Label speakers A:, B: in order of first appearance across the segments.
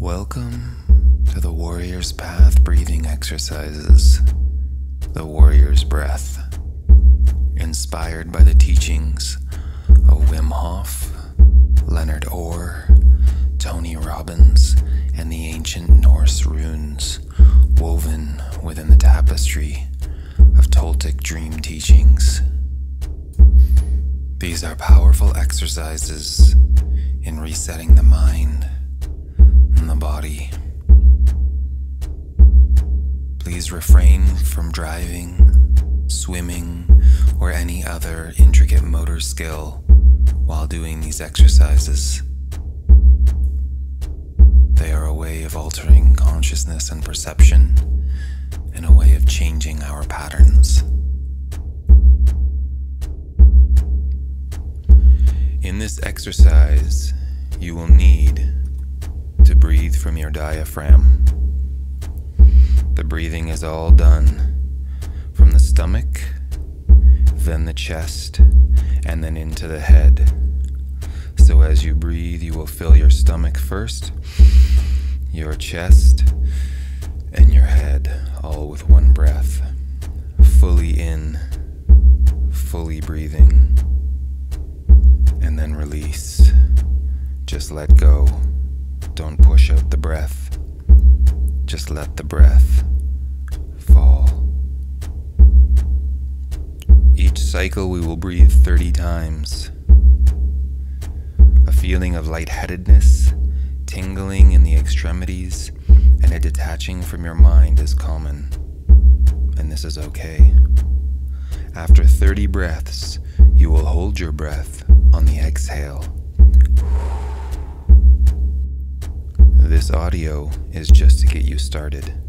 A: Welcome to the Warrior's Path breathing exercises, the Warrior's Breath, inspired by the teachings of Wim Hof, Leonard Orr, Tony Robbins, and the ancient Norse runes woven within the tapestry of Toltec dream teachings. These are powerful exercises in resetting the mind and the body. Please refrain from driving, swimming, or any other intricate motor skill while doing these exercises. They are a way of altering consciousness and perception, and a way of changing our patterns. In this exercise, you will need to breathe from your diaphragm. The breathing is all done from the stomach, then the chest and then into the head. So as you breathe, you will fill your stomach first, your chest, and your head, all with one breath. Fully in, fully breathing, and then release. Just let go. Don't push out the breath. Just let the breath fall. Each cycle, we will breathe 30 times. A feeling of lightheadedness, tingling in the extremities, and a detaching from your mind is common. And this is okay. After 30 breaths, you will hold your breath on the exhale. This audio is just to get you started.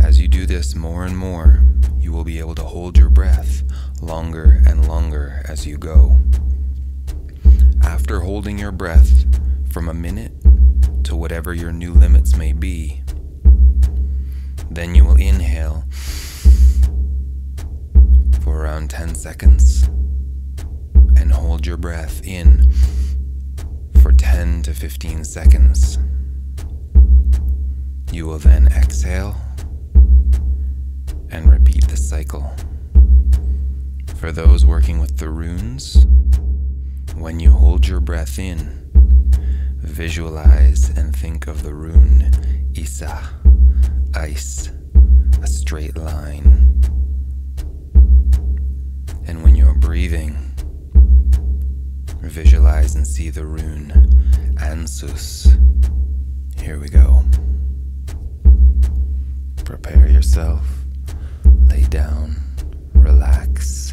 A: As you do this more and more, you will be able to hold your breath longer and longer as you go. After holding your breath from a minute to whatever your new limits may be, then you will inhale for around 10 seconds and hold your breath in for 10 to 15 seconds. You will then exhale and repeat the cycle. For those working with the runes, when you hold your breath in, visualize and think of the rune Isa, ice, a straight line. And when you're breathing, visualize and see the rune Ansus. Here we go. Prepare yourself, lay down, relax.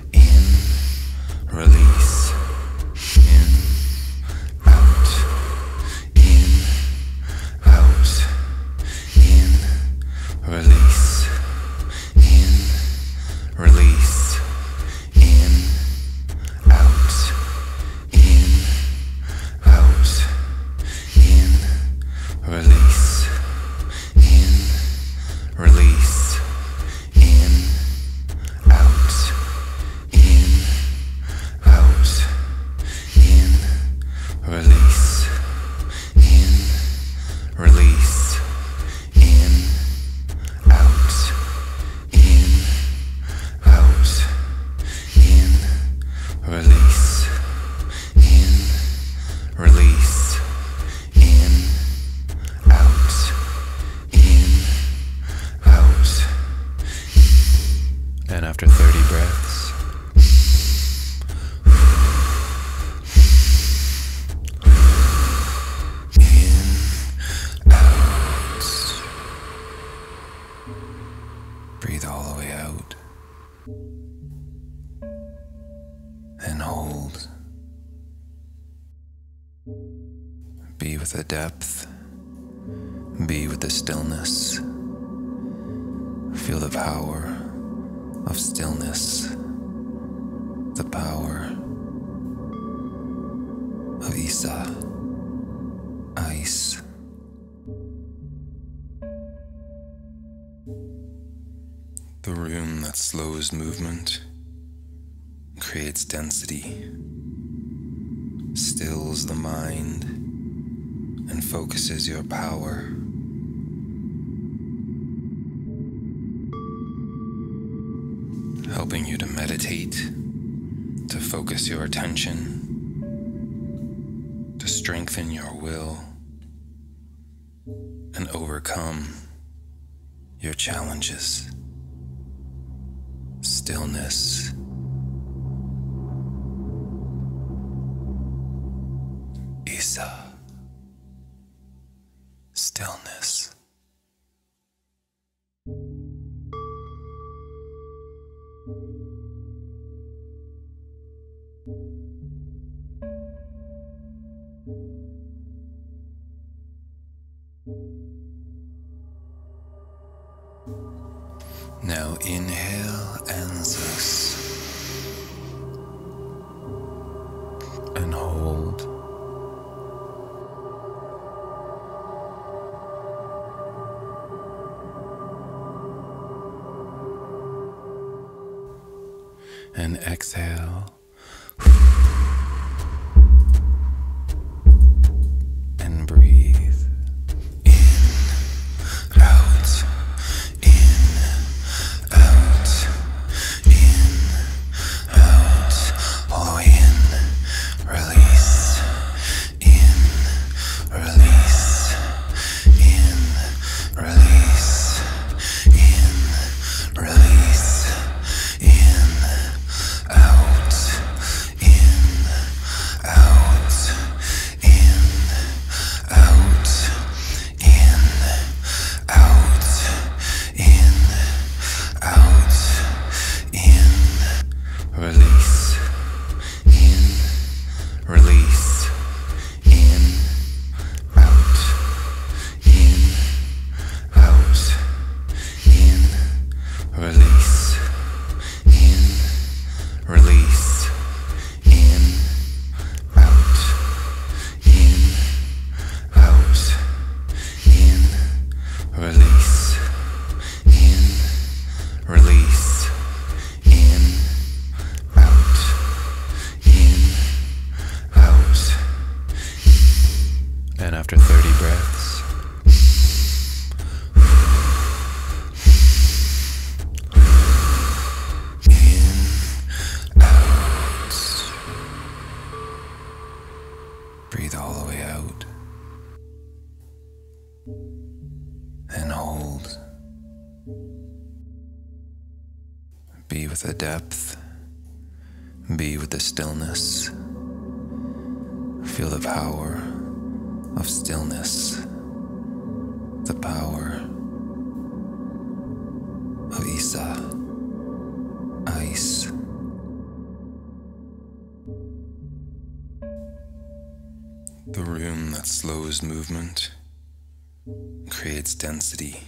B: in, release, in, out, in, out, in, release, in, release, in, out, in, out, in, release in, release, in, out, in, out, in, release, in, release, in, out, in, out, in, release, in, release.
A: And after 30 breaths, in, out. Breathe all the way out and hold. Be with the depth, be with the stillness. Feel the power of stillness, the
B: power of Isa, ice.
A: The room that slows movement, creates density, stills the mind, and focuses your power. Helping you to meditate, to focus your attention, to strengthen your will and overcome your challenges. Stillness. Isa.
B: Stillness.
A: Now inhale Anzus and hold. And exhale. And breathe in,
B: out, in, out, in, out, hollow in, release, in, release, in, release, in, Release. In. Out. In. Out. In. Out. In. Out. In. Release. In. Release in, out, in, out, in, release, in, release, in, out, in, out, in, release, in, release, in, out in, out. And
A: after 30 breaths, in, out. Breathe all the way out. And hold. Be with the depth. Be with the stillness. Feel the power of stillness. The power of Isa. Ice. The room that slows movement creates density,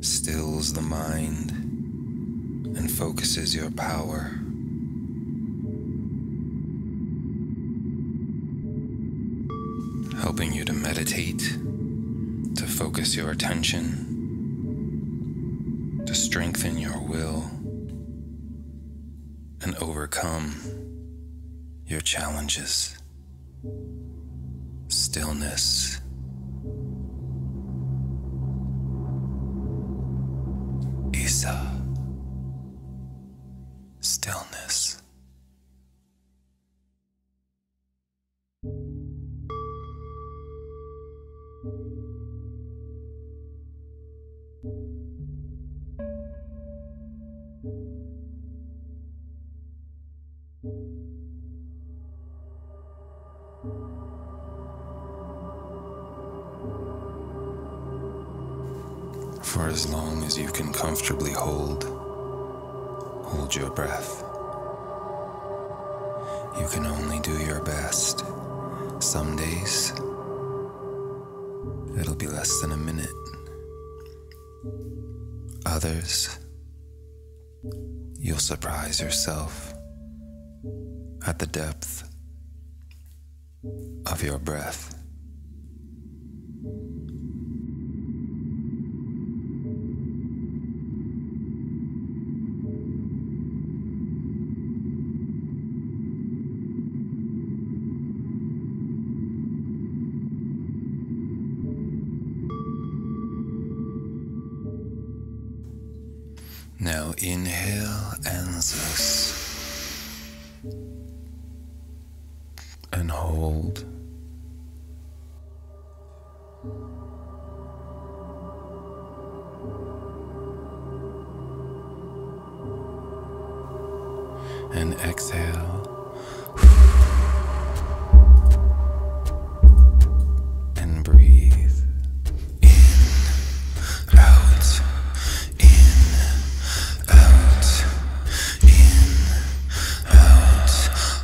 A: stills the mind, and focuses your power. Helping you to meditate, to focus your attention, to strengthen your will, and overcome your challenges stillness. Isa, stillness. For as long as you can comfortably hold, hold your breath. You can only do your best. Some days, it'll be less than a minute others. You'll surprise yourself at the depth of your breath. Now inhale and exhale, and hold. And exhale and breathe in, out, in, out, in, out,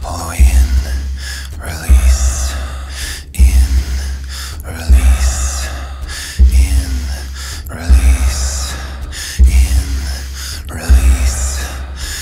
A: hollow in, release, in,
B: release, in, release, in, release.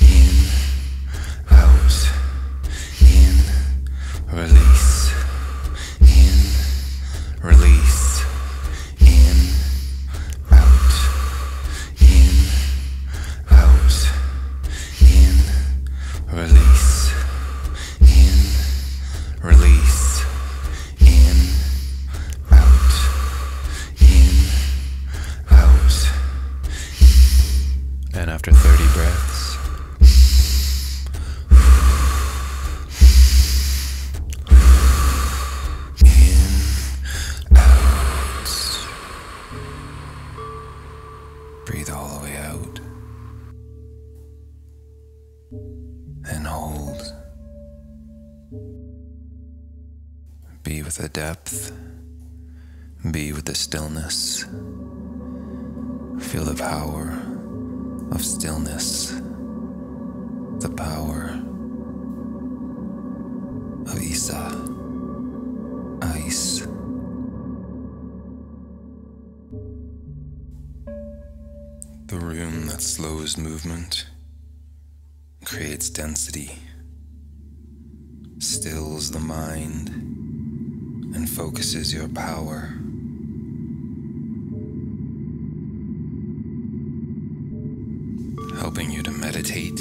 B: in, out, in, release, in, release, in, out, in, out, in, release, in, release, in, out,
A: in, out, and after 30 breaths, in, out. Breathe all the way out. And hold. Be with the depth. Be with the stillness. Feel the power of stillness, the power of Isa, ice. The room that slows movement creates density stills the mind and focuses your power. Helping you to meditate,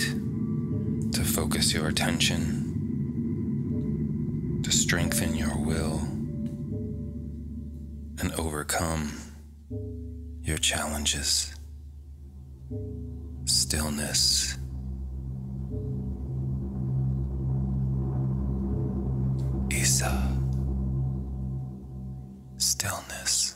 A: to focus your attention, to strengthen your will, and overcome your challenges stillness. Isa,
B: stillness.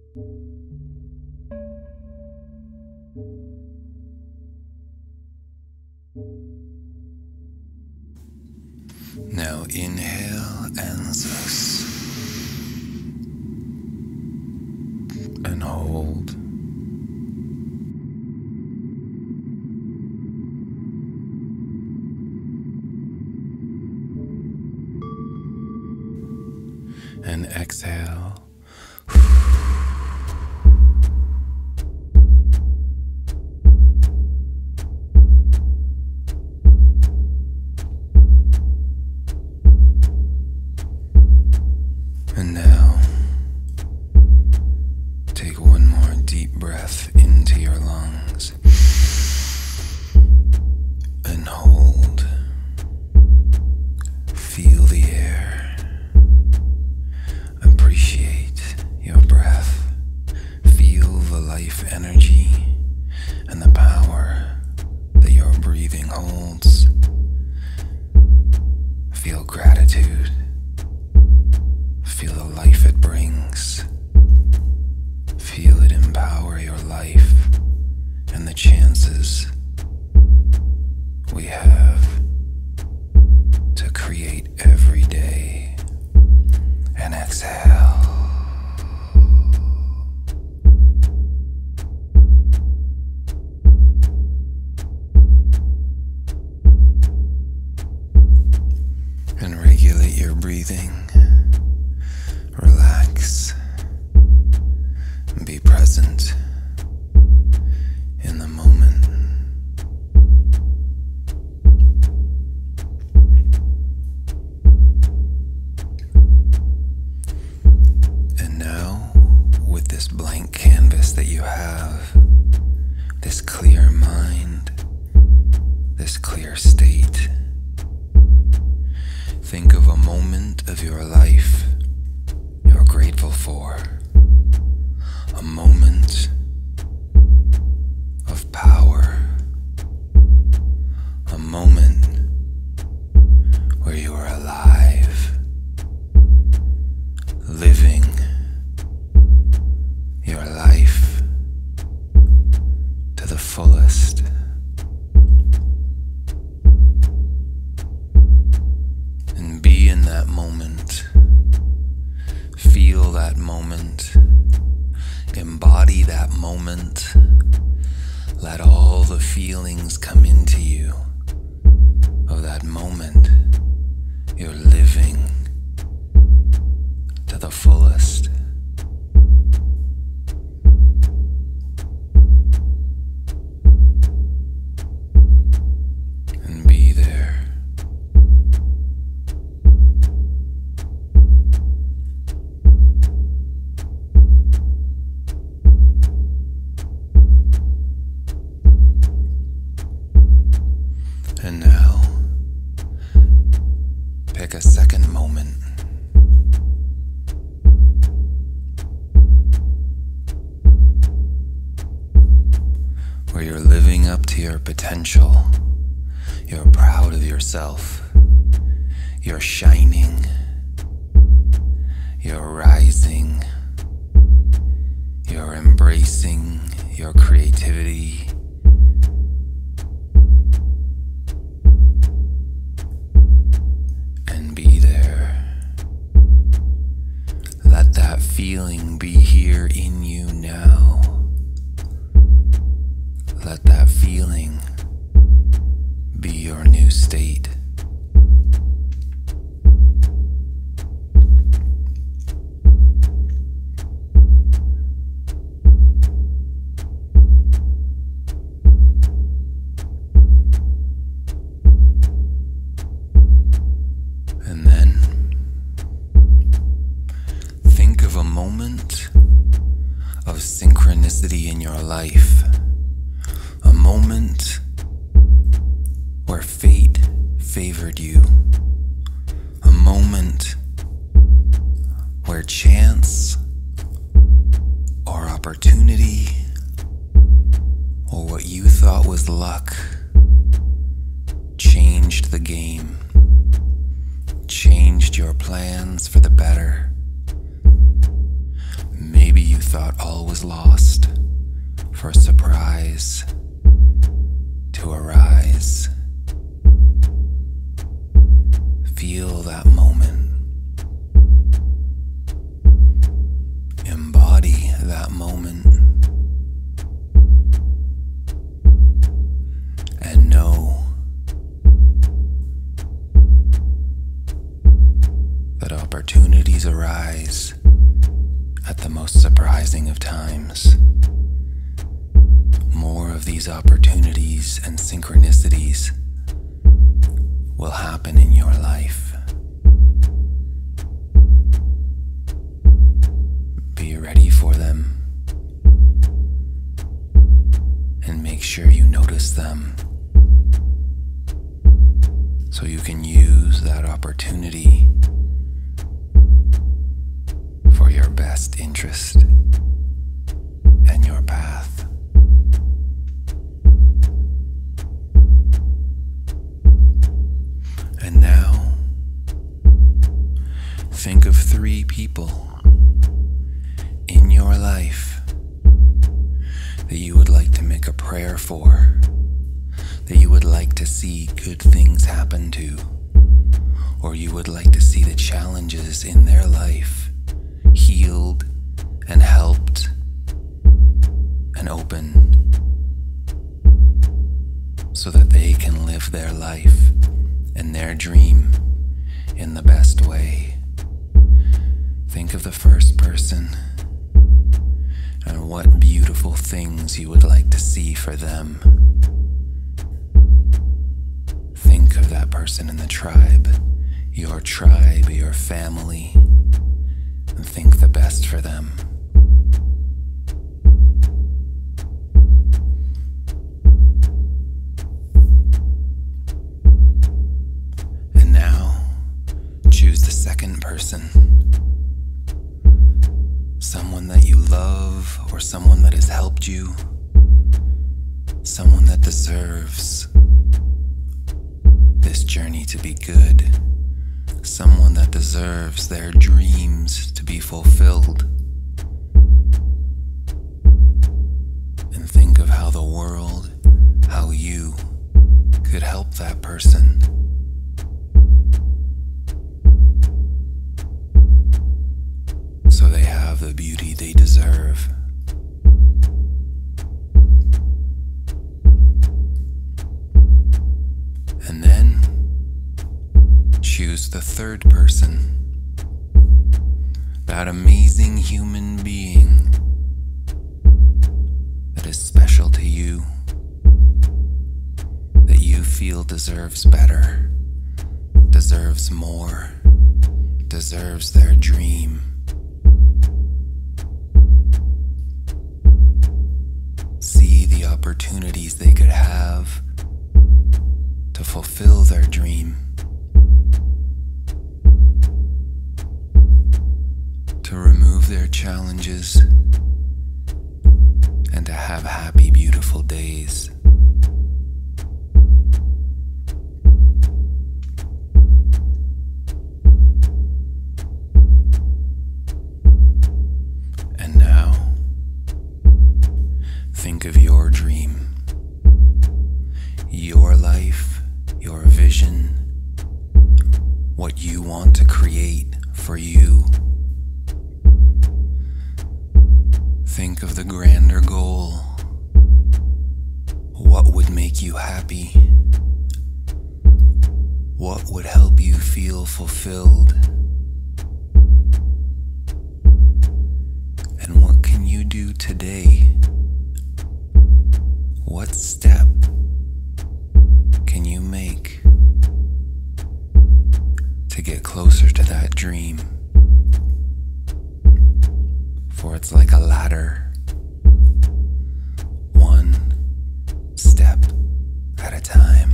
B: Now inhale
A: answers and hold and exhale. And now, take one more deep breath into your lungs and hold. Feel the air. Appreciate your breath. Feel the life energy and the power that your breathing holds. Feel gratitude. Feel the life it brings. Feel it empower your life and the chances we have to create every day. And exhale. And regulate your breathing Relax. Be present in the moment. And now, with this blank canvas that you have, this clear mind, this clear state. Think of a moment of your life you're grateful for. A moment of power. A moment where you are alive, living your life to the fullest. And be in that moment. Feel that moment. Embody that moment. Let all the feelings come into you of that moment. You're living to the fullest. And now, pick a second moment where you're living up to your potential, you're proud of yourself, you're shining, you're rising, you're embracing your creativity and be there. Let that feeling be here in you now. Let that feeling be your new state. And then think of a moment of synchronicity in your life, a moment where fate favored you, a moment where chance or opportunity or what you thought was luck changed the game, changed your plans for the better. Maybe you thought all was lost for a surprise to arise. Feel that moment Embody that moment. And know that opportunities arise at the most surprising of times. More of these opportunities and synchronicities will happen in your life. Be ready for them and make sure you notice them so you can use that opportunity for your best interest and your path. And now, think of three people in your life that you would like to make a prayer for, that you would like to see good things happen to, or you would like to see the challenges in their life healed and helped and opened so that they can live their life and their dream in the best way. Think of the first person and what beautiful things you would like to see for them. Think of that person in the tribe, your tribe, your family, and think the best for them. And now, choose the second person. Someone that you love or someone that has helped you. Someone that deserves this journey to be good. Someone that deserves their dreams to be fulfilled. And think of how the world, how you could help that person. So they have the beauty they deserve. And then choose the third person, that amazing human being that is special to you, that you feel deserves better, deserves more deserves their dream. See the opportunities they could have to fulfill their dream. To remove their challenges and to have happy, beautiful days. And now, think of your dream, your life, your vision, what you want to create for you. Think of the grander goal. What would make you happy? What would help you feel fulfilled? And what can you do today? What step can you make to get closer to that dream? for it's like a ladder, one step at a time.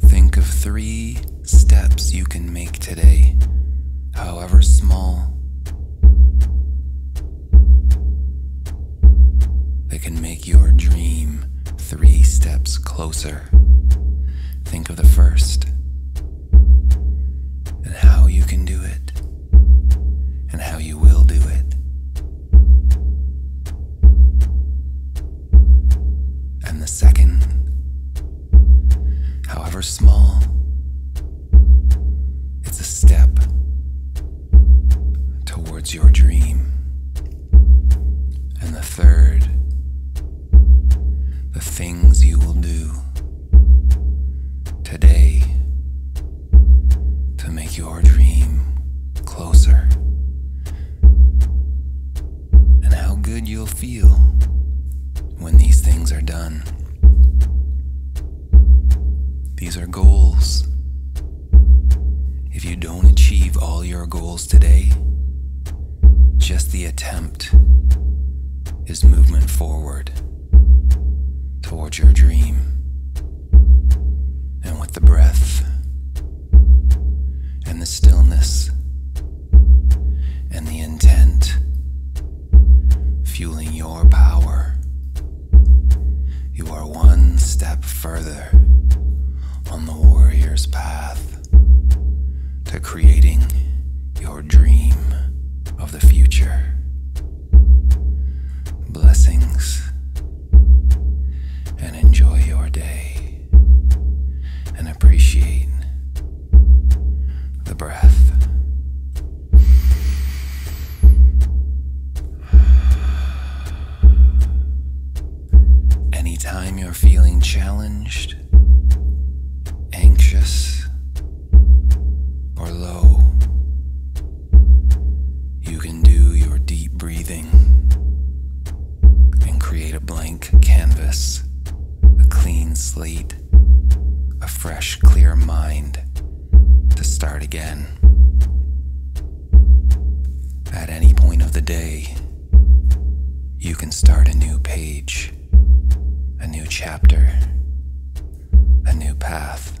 A: Think of three steps you can make today, however small. They can make your dream three steps closer. Think of the first, and how you can do it, and how you will do it. And the second, however small, it's a step towards your dream. And the third, the things you will do today to make your dream closer, and how good you'll feel when these things are done. These are goals. If you don't achieve all your goals today, just the attempt is movement forward towards your dream. And with the breath and the stillness and the intent fueling your power, you are one step further on the warrior's path to creating your dream of the future. Blessings and enjoy your day and appreciate the breath. Anytime you're feeling challenged, anxious, or low, you can do your deep breathing and create a blank canvas, a clean slate, a fresh, clear mind to start again. At any point of the day, you can start a new page a new chapter, a new path.